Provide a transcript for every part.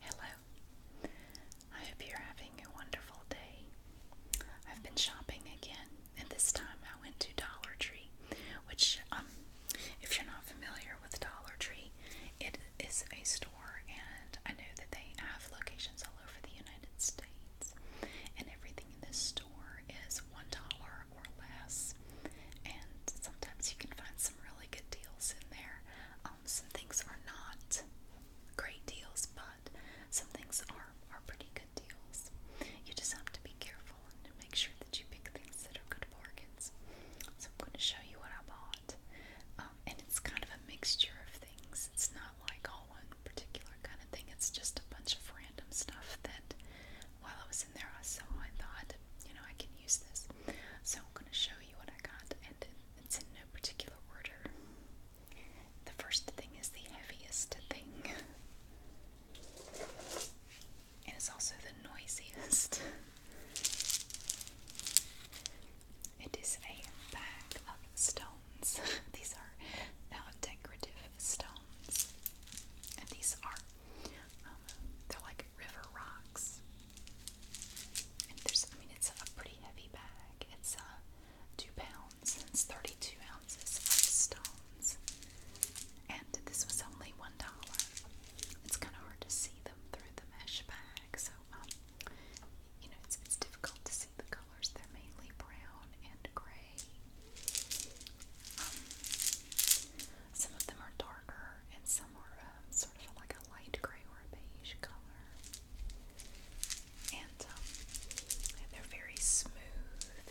Hello. I hope you're having a wonderful day. I've been shopping again, and this time I went to Dollar Tree, which, um, if you're not familiar with Dollar Tree, it is a store, and I know that they have locations all over the United States, and everything in this store is one dollar or less and sometimes you can find some really good deals in there. Um, some things are not great deals, but some things are, are pretty good deals. You just have to be careful and make sure that you pick things that are good bargains. So I'm going to show you what I bought. Um, and it's kind of a mixture of things. It's not like all one particular kind of thing. It's just a bunch of random stuff that while I was in there I saw I thought, you know, I can so I'm going to show you what I got, and it's in no particular order. The first thing is the heaviest thing, and it's also the noisiest. It is a bag of stones. These are uh, decorative stones, and these are um, they're like River Rocks. And there's, I mean, it's a pretty heavy bag. It's uh, two pounds and it's 32 ounces of stones. And this was only one dollar. It's kind of hard to see them through the mesh bag, so um, you know, it's, it's difficult to see the colors. They're mainly brown and gray. Um, some of them are dark and some are um, sort of like a light gray or a beige color. And um, they're very smooth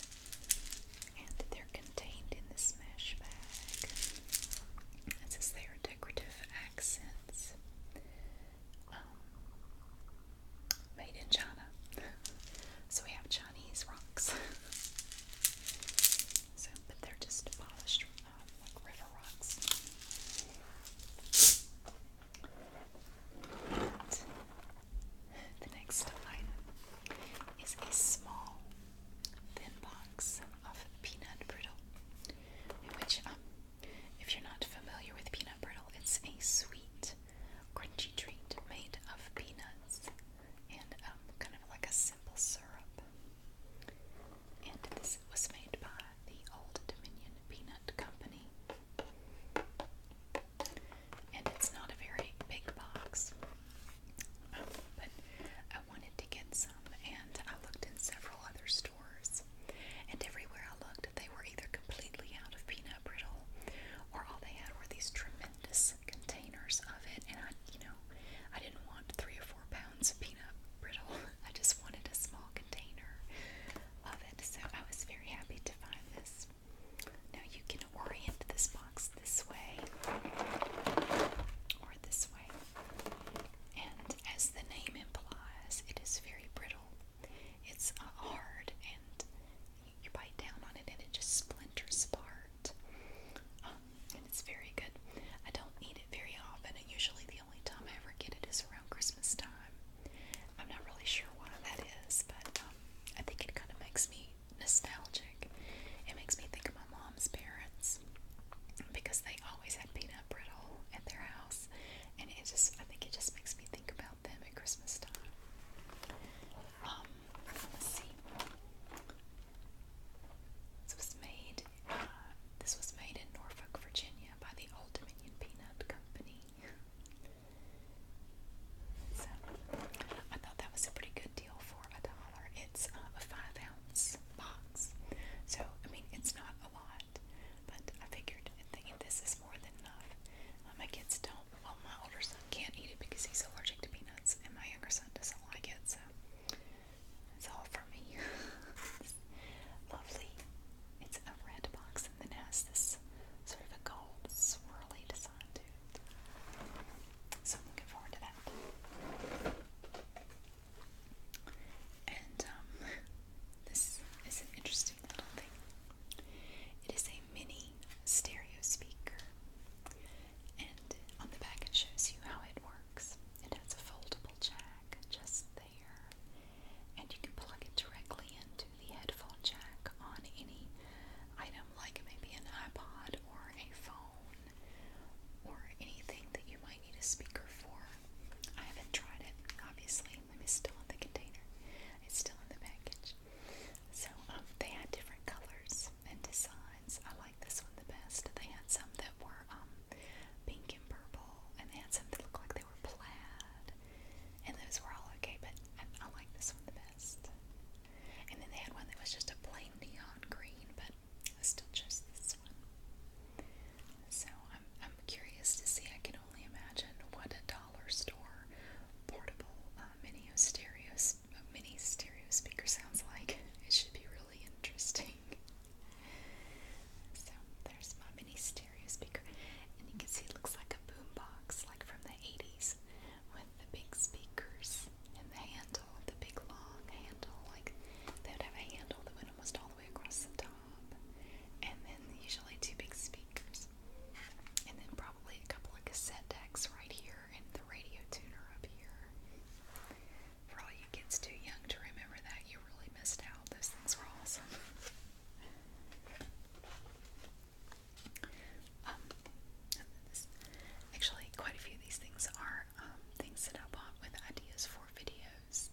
and they're contained in this mesh bag. It says they are decorative accents um, made in China. so we have Chinese rocks. So, but they're just polished like river rocks. And the next item is a small, thin box of peanut brittle, in which, um, if you're not familiar with peanut brittle, it's a sweet, crunchy treat made of peanuts and um, kind of like a simple syrup. And this was made by the Old Dominion Peanut Company. And it's not a very big box, um, but I wanted to get some, and I looked in several other stores. And everywhere I looked, they were either completely out of peanut brittle, or all they had were these tremendous containers containers of it, and I, you know, I didn't want three or four pounds of peanut brittle. I just wanted a small container of it, so I was very happy to find this. Now you can orient this box this way or this way, and as the name implies, it is very brittle. It's uh, hard, and you, bite down on it, and it just splinters apart. Um, and it's very good. I don't eat it very often, and usually the only time I ever get it is around Christmas time. I'm not really sure why that is, but um, I think it kind of makes me nostalgic. It makes me think of my mom's parents because they always had peanut brittle at their house, and it just I think it just makes me think about them at Christmas time. Um, let's see. This was made. Uh, this was made in Norfolk, Virginia, by the Old Dominion Peanut Company. so I thought that was a pretty good deal for a dollar. It's uh, a five ounce box, so I mean it's not a lot, but I figured thinking this is more than enough. Uh, my kids don't. Well, my older son can't eat it because he's allergic to peanuts, and my younger son doesn't like it, so. It's all for me. lovely. It's a red box and then has this sort of a gold swirly design to it. So I'm looking forward to that. And um, this is an interesting little thing. It is a mini stereo speaker, and on the back it shows you how it works. It has a foldable jack just there, and you can plug it directly into the headphone jack on any item, like maybe an iPod or a phone or anything that you might need a speaker for. I haven't tried it, obviously. It's still in the container, it's still in the package. So um, they had different colors and designs. I like like this one the best. They had some that were um, pink and purple, and they had some that looked like they were plaid, and those were all okay, but I, I like this one the best. And then they had one that was just a plain neon green, but I still chose this one. So I'm, I'm curious to see. I can only imagine what a dollar store portable uh, mini stereo mini stereo speaker sounds like. It should be really interesting. So there's my mini stereo speaker, and you can see it looks like a boombox, like from the '80s, with the big speakers and the handle, the big long handle. Like they would have a handle that went almost all the way across the top, and then usually two big speakers, and then probably a couple of cassette decks right here, and the radio tuner up here. For all you kids too young to remember that, you really missed out. Those things were awesome. Um, actually, quite a few of these things are um, things that I bought with ideas for videos.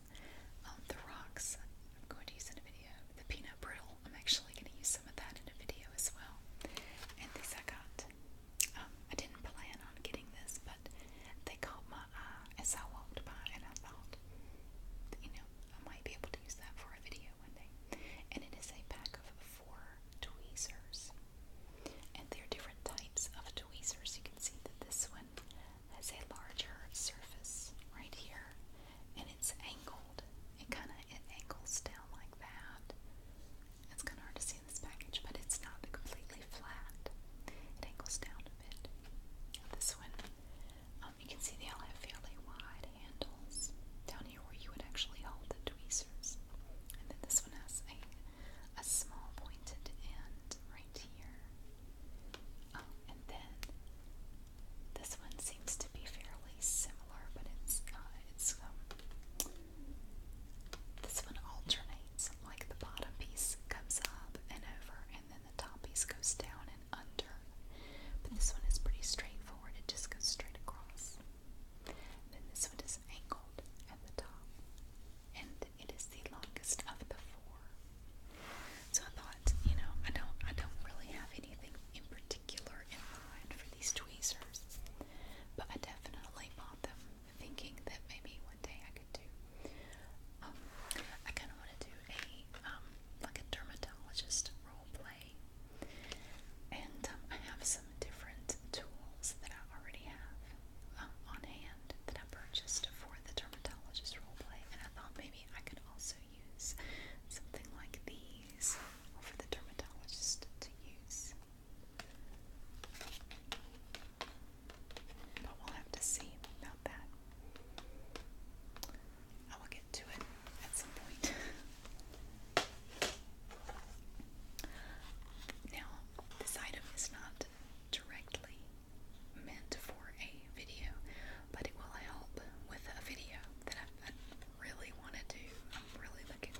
Um, the rocks, I'm going to use in a video. The peanut brittle, I'm actually going to use some of that in a video as well. And these I got um, I didn't plan on getting this, but they caught my eye as I walked by, and I thought, you know, I might be able to use that for a video one day. And it is a pack of four tweezers, and there are different types of tweezers. You can see that this one has a larger surface right here, and it's angled. It kind of it angles down like that. It's kind of hard to see this package, but it's not completely flat. It angles down a bit. This one, um, you can see they all have fairly wide handles down here where you would actually hold the tweezers. And then this one has a, a small pointed end right here. Um, and then this one seems to be fairly similar, but it's uh, it's um, this one alternates, like the bottom piece comes up and over, and then the top piece goes down and under. But this one is pretty straightforward, it just goes straight across. then this one is angled at the top, and it is the longest of the four. So I thought, you know, I don't, I don't really have anything in particular in mind for these tweezers, but I definitely bought them thinking that maybe one day I could do. Um, I kind of want to do a um, like a dermatologist role play, and um, I have some different tools that I already have um, on hand that I purchased for the dermatologist role play, and I thought maybe I could also use something like these for the dermatologist to use. But we'll have to see about that. I will get to it at some point. now, this item is not directly meant for a video, but it will help with a video that I, really want to I'm really looking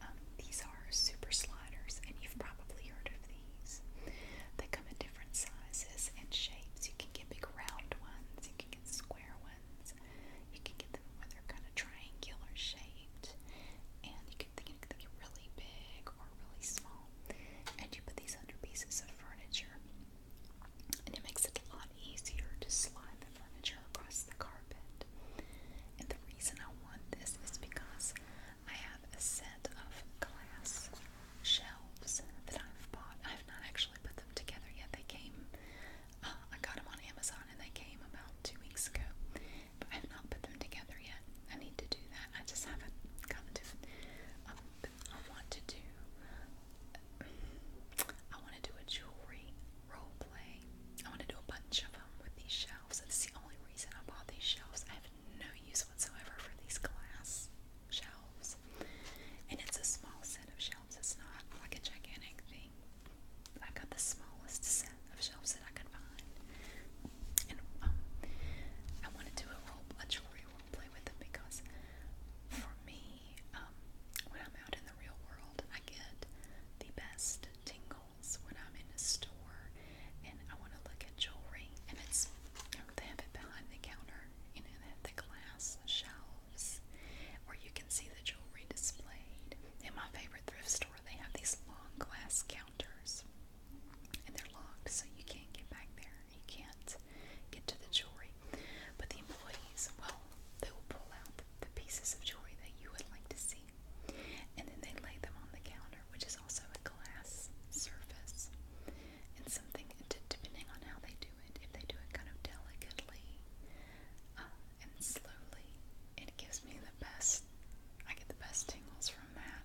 um, these are super sliders, and you've probably heard of these. They come in different sizes and shapes. You can get big round ones, you can get square ones, you can get them where they're kind of triangular shaped, and you can think they really big or really small. And you put these under pieces of furniture. And it makes it a lot easier to slide the furniture across the carpet. And the reason I want this is because I have a set of glass shelves that I've bought. I've not actually put them together yet. They came, uh, I got them on Amazon and they came about two weeks ago. But I've not put them together yet. I need to do that. I just haven't gotten to it. Um, I want to do. I want to do a jewelry role play. I want to do a bunch of them with these shelves. That's the only reason I bought these shelves. I have no use whatsoever for these glass shelves. And it's a small set of shelves. It's not like a gigantic thing. I got the smallest set of shelves that I could find. And um, I want to do a role, a jewelry role play with them because for me, um, when I'm out in the real world, I get the best tingle towels when I'm in a store and I want to look at jewelry and it's they have it behind the counter, you know, they have the glass shelves where you can see the jewelry displayed. In my favorite thrift store they have these long glass counters and they're locked so you can't get back there. You can't get to the jewelry. But the employees, well, they will pull out the pieces of jewelry that you would like to see and then they lay them on the counter, which is also a glass surface. And something, depending on how they do it, if they do it kind of delicately uh, and slowly, it gives me the best, I get the best tingles from that.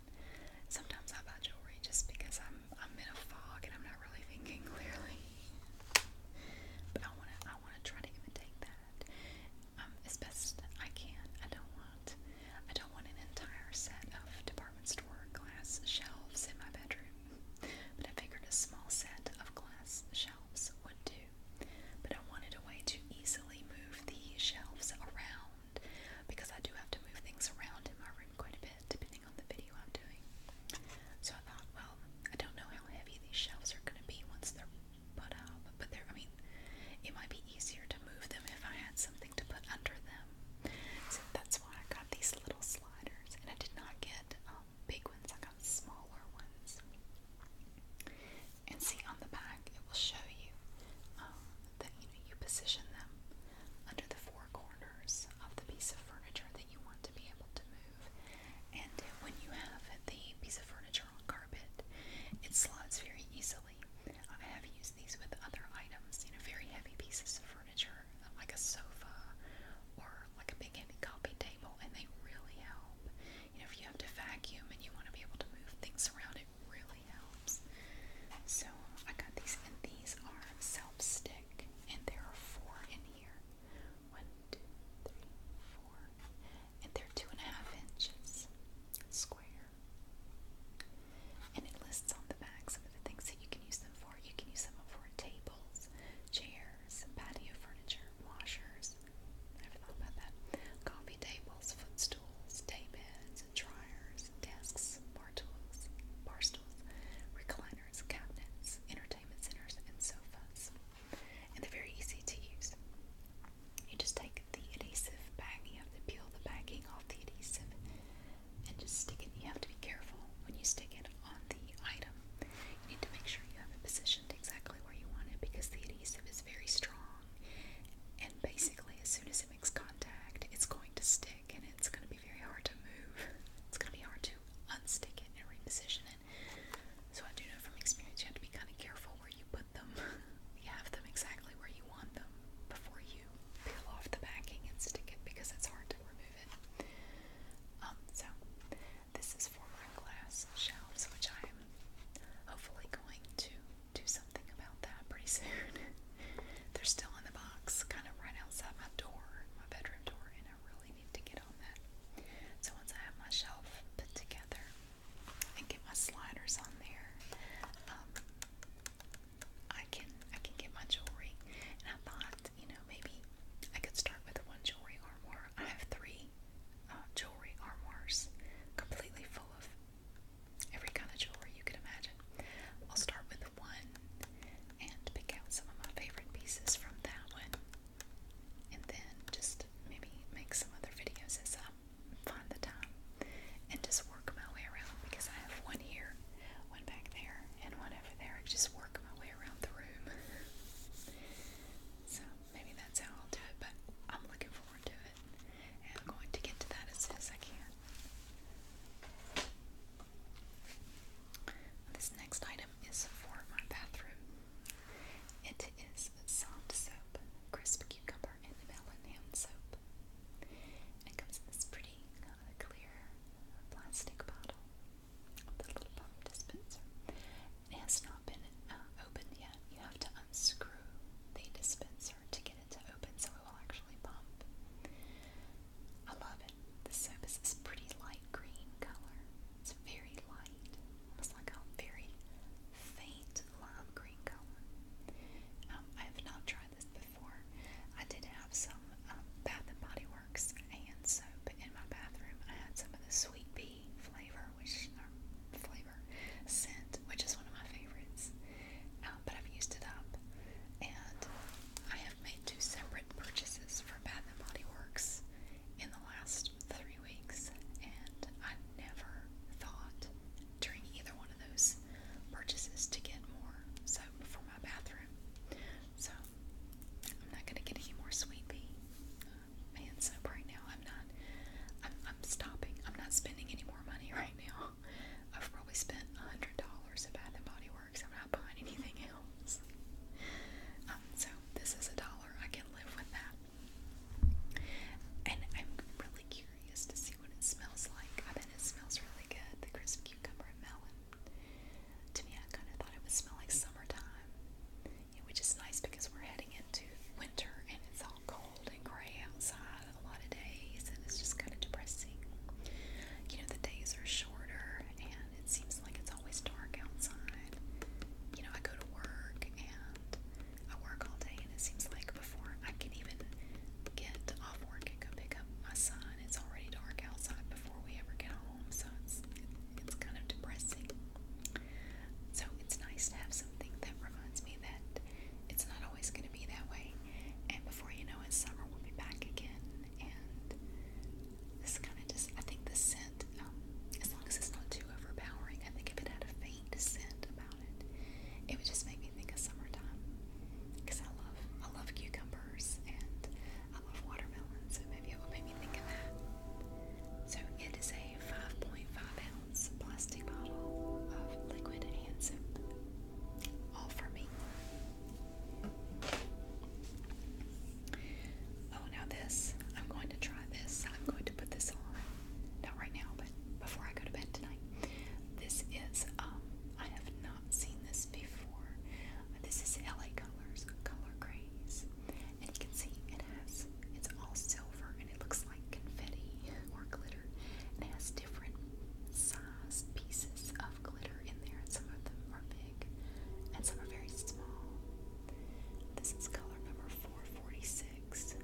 Sometimes I buy jewelry just because I'm, I'm in a fog and I'm not really thinking clearly. But I want to I wanna try to imitate that um, best I can. I don't want I don't want an entire set of department store glass shelves in my bedroom, but I figured a small set of glass shelves would do. But I wanted a way to easily move the shelves around because I do have to move things around in my room quite a bit depending on the video I'm doing. So I thought, well, I don't know how heavy these shelves are going to be once they're put up, but there, I mean, it might be easier to move them if I had something to put under them. So that's why I got these little sliders, and I did not get um, big ones, I got smaller ones. And see on the back, it will show you um, that you know you position them under the four corners of the piece of furniture that you want to be able to move. And when you have the piece of furniture traditional carpet. It slots very easily. I have used these with other items, you know, very heavy pieces of furniture, like a sofa or like a big heavy coffee table, and they really help. You know, if you have to vacuum and you want to be able to move things around, it really helps. So I got these, and these are self stick, and there are four in here. One, two, three, four and they're two and a half inches square. And it lists on the back some of the things that you can use them for. You can use them for tables, chairs, patio furniture, washers. Never thought about that. Coffee tables, footstools, daybeds, dryers, desks, bar tools, bar stools, recliners, cabinets, entertainment centers, and sofas. And they're very easy to use. You just take the adhesive back, you have to peel the backing off the adhesive and just stick it. You have to be careful when you stick it on the item. You need to make sure you have it positioned exactly where you want it because the adhesive is very strong and basically as soon as it makes contact it's going to stick and it's going to be very hard to move. It's going to be hard to unstick it and reposition it. So I do know from experience you have to be kind of careful where you put want them. you have them exactly where you want them before you peel off the backing and stick it because it's hard to remove it. Um, so this is for my glass shelves, which I am hopefully going to do something about that pretty soon. They're still in the box, kind of right outside my door, my bedroom door, and I really need to get on that. So once I have my shelf put together, and get my sliders on there. Um, I can I can get my jewelry, and I thought you know maybe I could start with one jewelry armoire. I have three uh, jewelry armoires, completely full of every kind of jewelry you can imagine. I'll start with one and pick out some of my favorite pieces from that one and then just maybe make some other videos as I find the time and just work my way around because I have one here, one back there, and one over there. just work my way around the room. so maybe that's how I'll do it, but I'm looking forward to it and I'm going to get to that as soon as I can. This next item is for my bathroom. It is soft soap, crisp cucumber, and melon hand soap. And it comes in this pretty uh, clear plastic bottle, the pump dispenser. It has not been uh, opened yet. You have to unscrew the dispenser to get it to open so it will actually pump. I love it. The soap is this pretty light green color. It's very light, almost like a very faint lime green color. Um, I have not tried this before. I did have some um, Bath and Body Works and soap in my bathroom. I had some of the Sweet Pea flavor, which um, flavor scent, which is one of my favorites. but I've used it up, and I have made two separate purchases for Bath and Body Works in the last three weeks, and I never thought during either one of those purchases to get more soap for my bathroom. So I'm not gonna get any more Sweet Pea so uh, hand right now. I'm not. I'm, I'm stopping. I'm not spending any more money right now. I've probably spent a hundred dollars at Bath and Body Works. I'm not buying anything else. Um, so this is a dollar. I can live with that. And I'm really curious to see what it smells like. I bet it smells really good, the crisp cucumber and melon. To me, I kind of thought it would smell summertime, which is nice because we're heading into winter and it's all cold and gray outside a lot of days, and it's just kind of depressing. You know, the days are shorter and it seems like it's always dark outside. You know, I go to work and that. I work all day, and it seems like before I can even get off work and go pick up my son, it's already dark outside before we ever get home. So it's it's kind of depressing. So it's nice to have something that reminds me that it's not always going to be that way. And before you know it, summer will be back again. And this kind of just, I think the scent um, as long as it's not too overpowering. I think if it had a faint scent about it, it would just make me think of summertime. Because I love, I love cucumbers and I love watermelon, so maybe it will make me think of that. So it is a 5.5 ounce plastic bottle of liquid hand soap. All for me. Oh, now this. I'm going to try this. I'm going put this on. Not right now, but before I go to bed tonight. This is, um, I have not seen this before. This is LA Colors Color Grays. And you can see it has, it's all silver and it looks like confetti or glitter. It has different sized pieces of glitter in there. And some of them are big and some are very small. This is color number 446,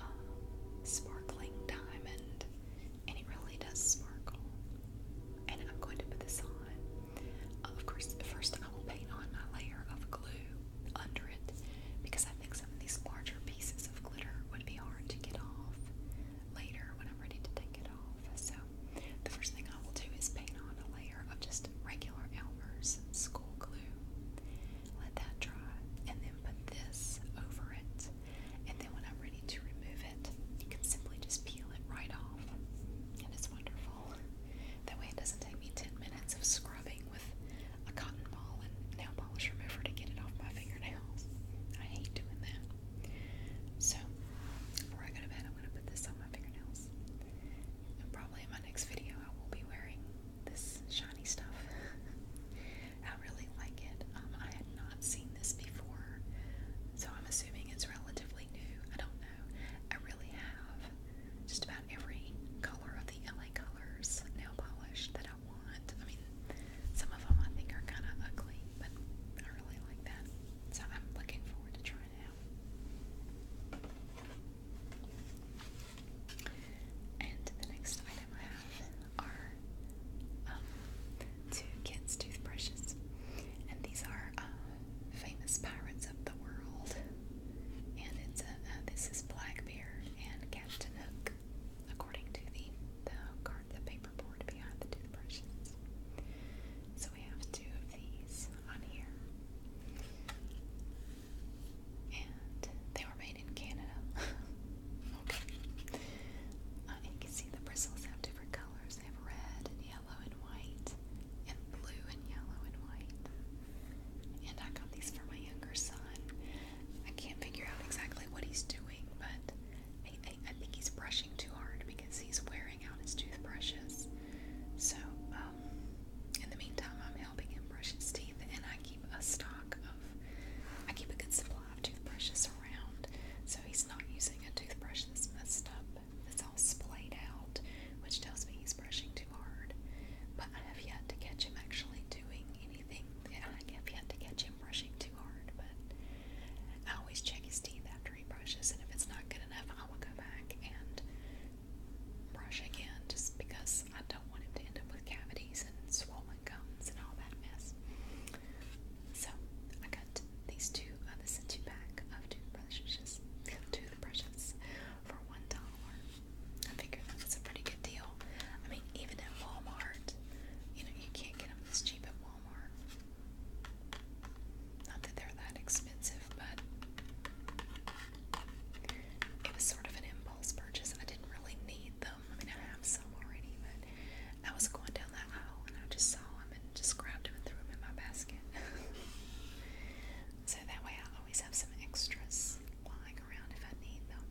um, sparkling diamond, and it really does sparkle. And I'm going to put this on. Uh, of course, first I will paint on my layer of glue under it because I think some of these larger pieces of glitter would be hard to get off later when I'm ready to take it off. So the first thing I will do is paint on a layer of just regular Elmer's school glue. Let that dry and then put this over it. And then when I'm ready to remove it, you can simply just peel it right off. And it's wonderful. That way it doesn't take me 10 minutes of scrubbing with a cotton ball and nail polish remover to get it off my fingernails. I hate doing that. So, before I go to bed, I'm going to put this on my fingernails probably in my next video, I will be wearing this shiny stuff. I really like it. Um, I had not seen this before, so I'm assuming it's relatively new. I don't know. I really have just about every color of the LA Colors nail polish that I want. I mean, some of them I think are kind of ugly, but I really like that. So I'm looking forward to trying it out. And the next item I have are um, two kids' toothbrushes, and these are uh, famous pirates of the world. And it's a, uh, this is Blackbeard and Captain Hook, according to the the card, the paper board behind the toothbrushes. So we have two of these on here and they were made in Canada. okay. Uh, you can see the bristles have different colors. They have red and yellow and white, and blue and yellow and white. And I got these for my younger son. I can't figure out exactly what he's doing, but I think he's brushing too hard because he's wearing out his toothbrushes. So, um, in the meantime, I'm helping him brush his teeth, and I keep a stock of, I keep a good supply of toothbrushes around, so he's not using a toothbrush that's messed up, that's all splayed out, which tells me he's brushing too hard. But I have yet to catch him actually doing anything. I have yet to catch him brushing too hard, but. I always check his teeth after he brushes, and if it's not good enough, I will go back and brush again just because I don't want him to end up with cavities and swollen gums and all that mess. So I got these two, uh, this two pack of toothbrushes, toothbrushes for one dollar. I figured that a pretty good deal. I mean, even at Walmart, you know, you can't get them this cheap at Walmart. Not that they're that expensive, but it was sort of an impulse purchase. I didn't really need them. I mean, I have some already, but I was going down that aisle and I just saw them and just grabbed them and threw them in my basket. so that way I always have some extras lying around if I need them.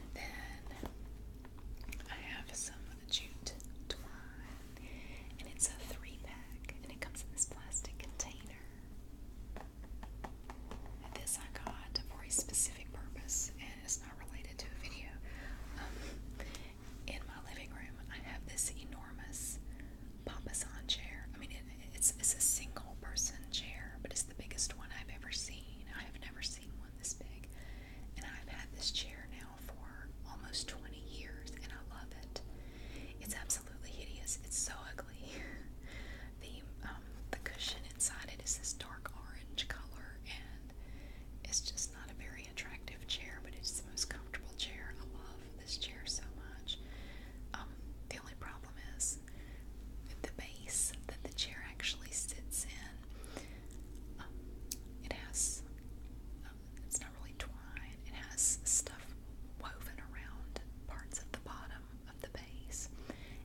And then I have some a jute twine, and it's a three pack, and it comes in this plastic container. this I got for a specific purpose, and it's not related to a video. Um, in my living room, I have this enormous papasan chair. I mean, it's it's a single person chair, but it's the biggest one I've ever seen. I have never seen one this big, and I've had this chair now for almost 20 years and I love it. It's absolutely hideous. It's so ugly. the um, the cushion inside it is this dark orange color and it's just not a very attractive chair, but it's the most comfortable chair. I love this chair so much. Um, the only problem is the base that the chair actually sits in. Um, it has it's not really twine. It has stuff woven around parts of the bottom of the base.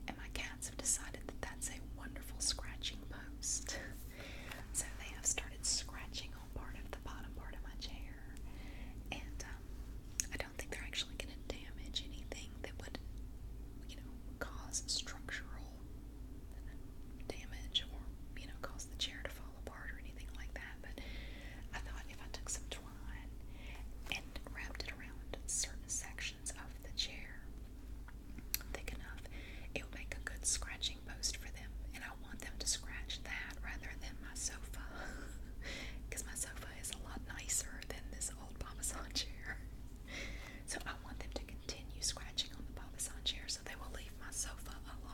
And my cats have decided that that's a wonderful scratching post. so they have started scratching on part of the bottom part of my chair. And um, I don't think they're actually going to damage anything that would, you know, cause structural damage or, you know, cause the chair to fall apart or anything like that. But I thought if I took some twine and wrapped it around certain sections of the chair thick enough, it would make a good scratching post for them. And I want them to scratch that rather than my sofa. Because my sofa is a lot nicer than this old Parmesan chair. So I want them to continue scratching on the Parmesan chair so they will leave my sofa alone.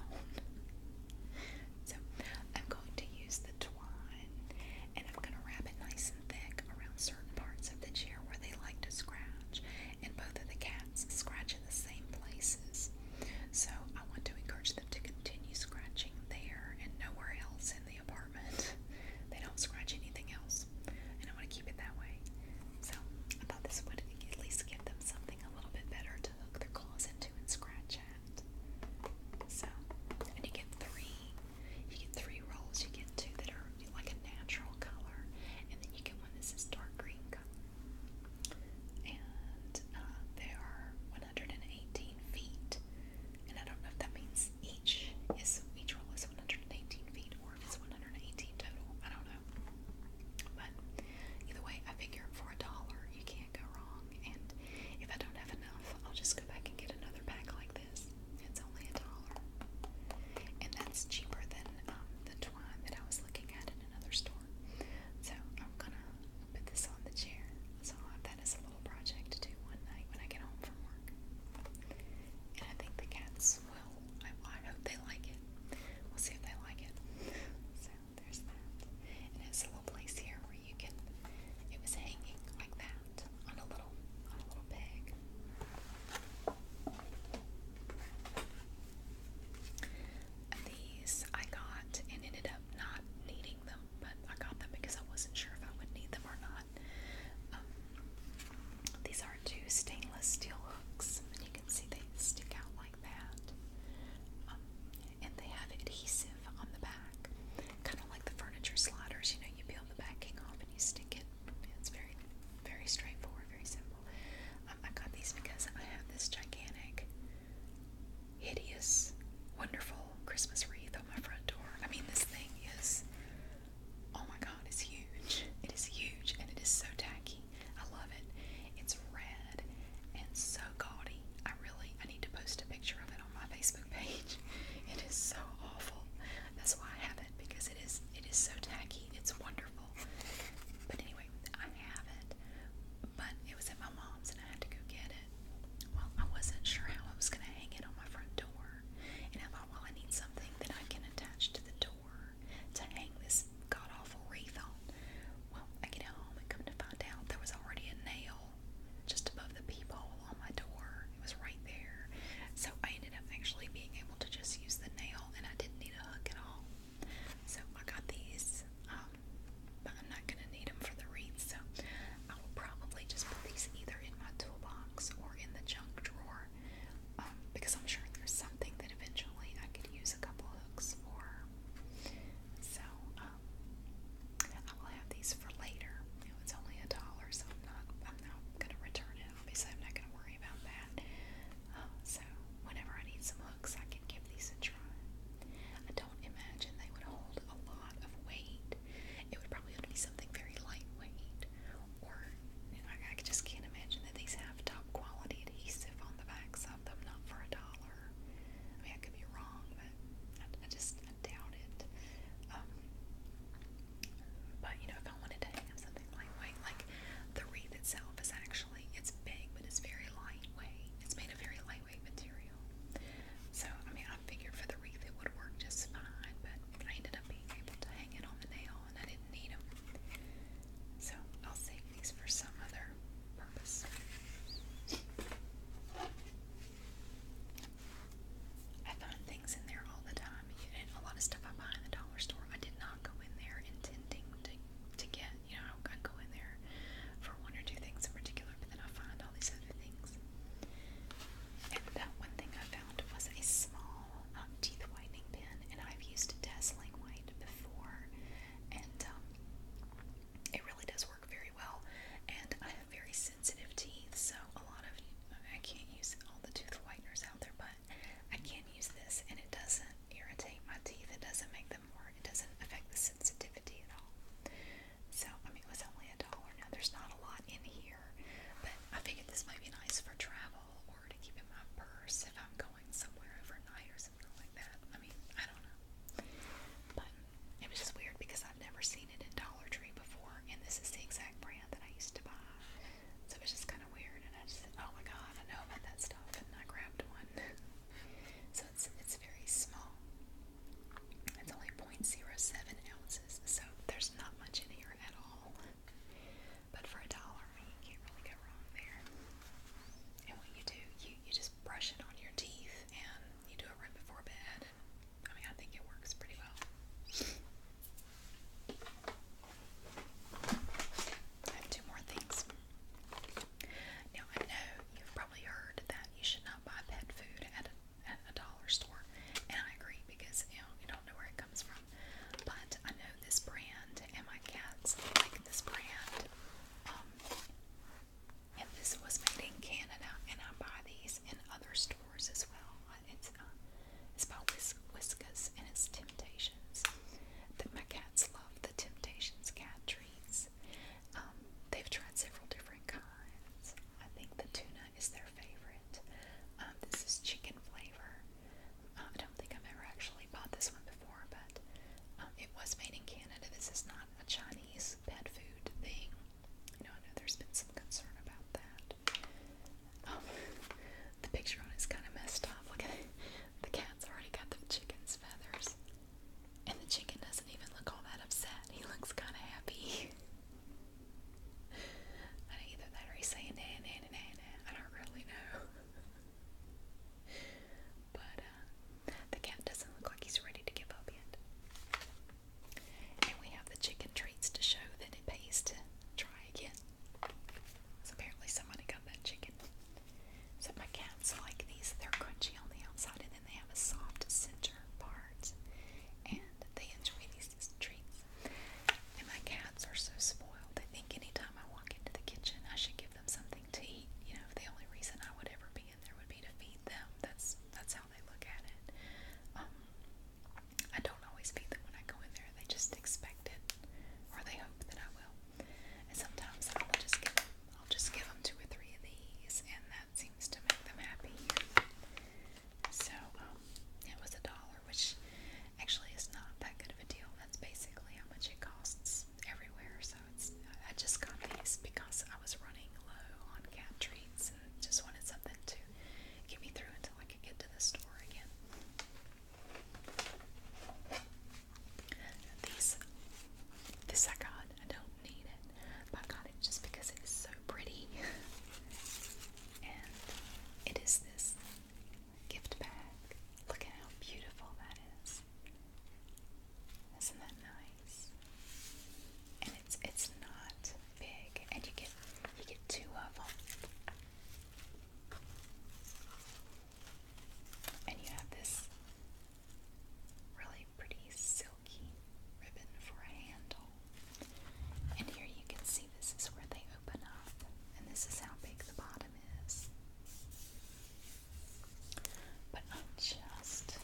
so I'm going to use the twine and I'm going to wrap it nice and thick around certain parts of the chair where they like to scratch. And both of the cats scratch in the same places. So I want to encourage them to continue scratching there and nowhere else in the apartment. they don't scratch anything else. And I want to keep it that way. So I thought this would at least give them something a little bit better to hook their claws into and scratch at. So, and you get three. You get three rolls. You get two that are like a natural color, and then you get one that says dark green color. And uh, they are 118 feet. And I don't know if that means each is each roll is 118 feet or if it's 118 total. I don't know. But either way, I figure for a dollar you can't go wrong. And if I don't have enough, I'll just go back and get another pack like this. It's only a dollar. And that's cheaper than um, the twine that I was looking at in another store. So I'm gonna put this on the chair. So I'll have that as a little project to do one night when I get home from work. And I think the cats will I, hope they like it. We'll see if they like it. So there's that. And it's a little place here where you can. It was hanging like that on a little on a little peg. These I got and ended up not needing them, but I got them because I wasn't sure if I would need them or not. Um, these are two stainless steel hooks, and you can see they stick out like um, and they have adhesive on the back, kind of like the furniture sliders. You know, you peel the backing off and you stick it. It's very, very straightforward, very simple. Um, I got these because I have this gigantic, hideous, wonderful Christmas wreath on my front door. I mean, this thing is, oh my God, it's huge. It is huge, and it is so tacky me. I love it. It's red and so gaudy. I really I need to post a picture of it on my Facebook page. It is so awful. That's why I have it because it is it is so tacky. It's wonderful. But anyway, I have it. But it was at my mom's and I had to go get it. Well, I wasn't sure how I was gonna hang it on my front door. And I thought, well, I need something that I can attach to the door to hang this god awful wreath on. Well, I get home and come to find out there was already a nail just above the peephole on my door. It was right there. So I ended up actually being able to just use the nail and I didn't need a hook at all. So I got these, um, but I'm not going to need them for the wreath. So I will probably just put these either in my toolbox or in the junk drawer um, because I'm sure there's something that eventually I could use a couple hooks for. So um, I will have these for later. it's only a dollar, so I'm not I'm not gonna return it. Obviously, I'm not gonna worry about that. Um, so whenever I need some hooks, I can give these a try. I don't imagine they would hold a lot of weight. It would probably have be something very lightweight, or I, just can't imagine that these half dollar top quality adhesive on the backs of them, not for a dollar. I mean, I could be wrong, but I, I just I doubt it. Um, but you know, if I wanted to have something lightweight, like the wreath itself is actually it's big, but it's very lightweight. It's made of very lightweight material. So I mean, I figured for the wreath it would work just fine, but I ended up being able to hang it on the nail and I didn't need them. So I'll save these for some other purpose. I find things in there all the time, and a lot of stuff I buy in the dollar store. I did not go in there intending to to get. You know, I go in there for one or two things in particular, but then I find all these other things. And that one thing I found was a small um, teeth whitening pen, and I've used dazzling white applied before, and um, it really does work very well. And I have very sensitive teeth, so a lot of I can't use all the tooth whiteners out there, but I can use this, and it doesn't irritate my teeth. It doesn't make them more. It doesn't affect the sensitivity at all. So I mean, it was only a dollar. Now there's not a lot in here, but I figured this might be nice for travel or to keep in my purse if I'm going going somewhere overnight or something like that. I mean, I don't know. But it was just weird because I've never seen it in Dollar Tree before, and this is the exact brand that I used to buy. So it was just kind of weird, and I just said, "Oh my God, I know about that stuff," and I grabbed one. so it's it's very small. It's only 0.07 ounces, so there's not much in here at all. But for a dollar, I mean, you can't really go wrong there. And what you do, you, you just brush it on your teeth and you do it right before bed. I mean, I think it works pretty well. I have two more things. Now, I know you've probably heard that you should not buy pet food at at a dollar store, and I agree because you don't know where it comes from. But I know this brand, and my cats like this brand. Um, and this was made in Canada, and I buy these in other stores as well. It's uh, it's by Whis Whiskas, and it's Temptations. That my cats love the Temptations cat treats. Um, they've tried several different kinds. I think the tuna is their favorite. Um, this is chicken flavor. I don't think I've ever actually bought this one before, but um, it was made in Canada. This is not a Chinese pet food thing. You know, I know there's been some concern about that. Um, the picture on it's kind of messed up. Look at The cat's already got the chicken's feathers. And the chicken doesn't even look all that upset. He looks kind of happy. either that or he's saying nah, I don't really know. But uh, the cat doesn't look like he's ready to give up yet. And we have the chicken treats to show that it pays to try again. So apparently somebody got that chicken. So my cats like these. They're crunchy on the outside and then they have a soft center part. And they enjoy these treats. And my cats are so spoiled. They think anytime I walk into the kitchen, I should give them something to eat. You know, if the only reason I would ever be in there would be to feed them. That's that's how they look at it. Um, I don't always feed them when I go in there. They just expect it, or they hope that I will. And sometimes I will just give them. I'll just give them two or three of these, and that seems to make them happy. So um, it was a dollar which actually is not that good of a deal. That's basically how much it costs everywhere. So it's I just got these because I was running low on cat treats and just wanted something to get me through until I could get to the store again. These, this I got. I don't need it, but I got it just because it is so pretty. and it is this gift bag. Look at how beautiful that is. Isn't that nice? And it's it's not big, and you get you get two of them. And you have this really pretty silky ribbon for a handle. And here you can see this is where they open up, and this is how big the bottom is. But I just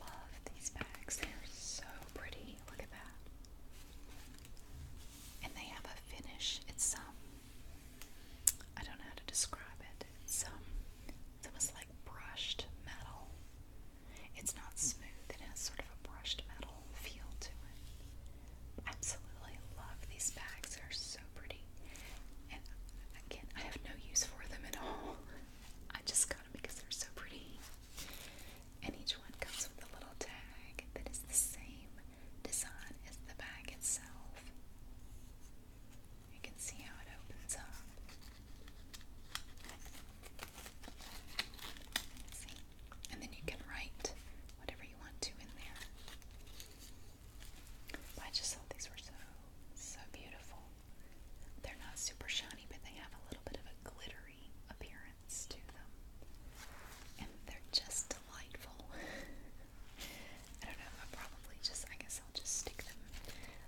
love these bags. They're so pretty. Look at that. And they have a finish. It's um I don't know how to describe it. It's um, it's almost like brushed metal. It's not smooth, it has sort of a brushed metal feel to it. Absolutely love these bags. They're so pretty. And again, I have no use for them at all. I just got them because they're so pretty. And each one comes with a little tag that is the same design as the bag itself. You can see how it opens up. And then you can write whatever you want to in there. I just thought these were so, so beautiful. They're not super shiny, but they have a little bit of a glittery appearance to them. And they're just delightful. I don't know, I'll probably just, I guess I'll just stick them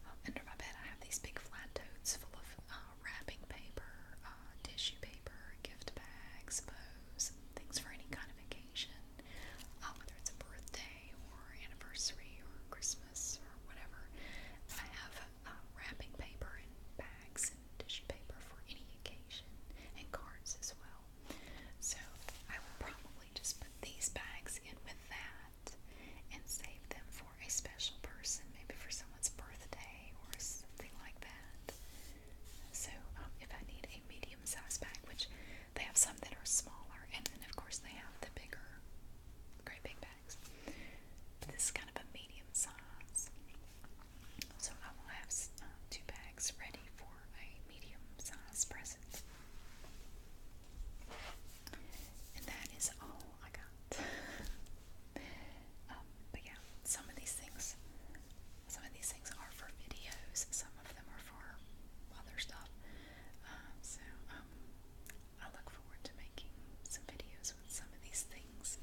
um, under my bed. I have these big flat totes full of uh, wrapping paper, uh, tissue paper, gift bags, books photos, things for any kind of occasion, uh, whether it's a birthday or anniversary or Christmas or whatever. I have uh, wrapping paper and bags and dish paper for any occasion and cards as well. So I will probably just put these bags in with that and save them for a special person, maybe for someone's birthday or something like that. So um, if I need a medium-sized bag, which they have some that are smaller, and then of course they have the bigger, great big bags. But this is kind of a medium size, so I will have uh, two bags ready for a medium-sized present. And that is all I got. um, but yeah, some of these things some of these things are for videos, some of them are for other stuff. Um, so, um, I look forward to making some videos with some of these things.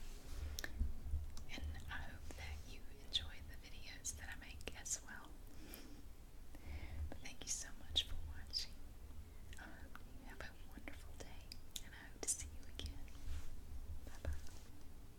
And I hope that you enjoy the videos that I make as well. But thank you so much for watching. I hope you have a wonderful day, and I hope to see you again. Bye bye.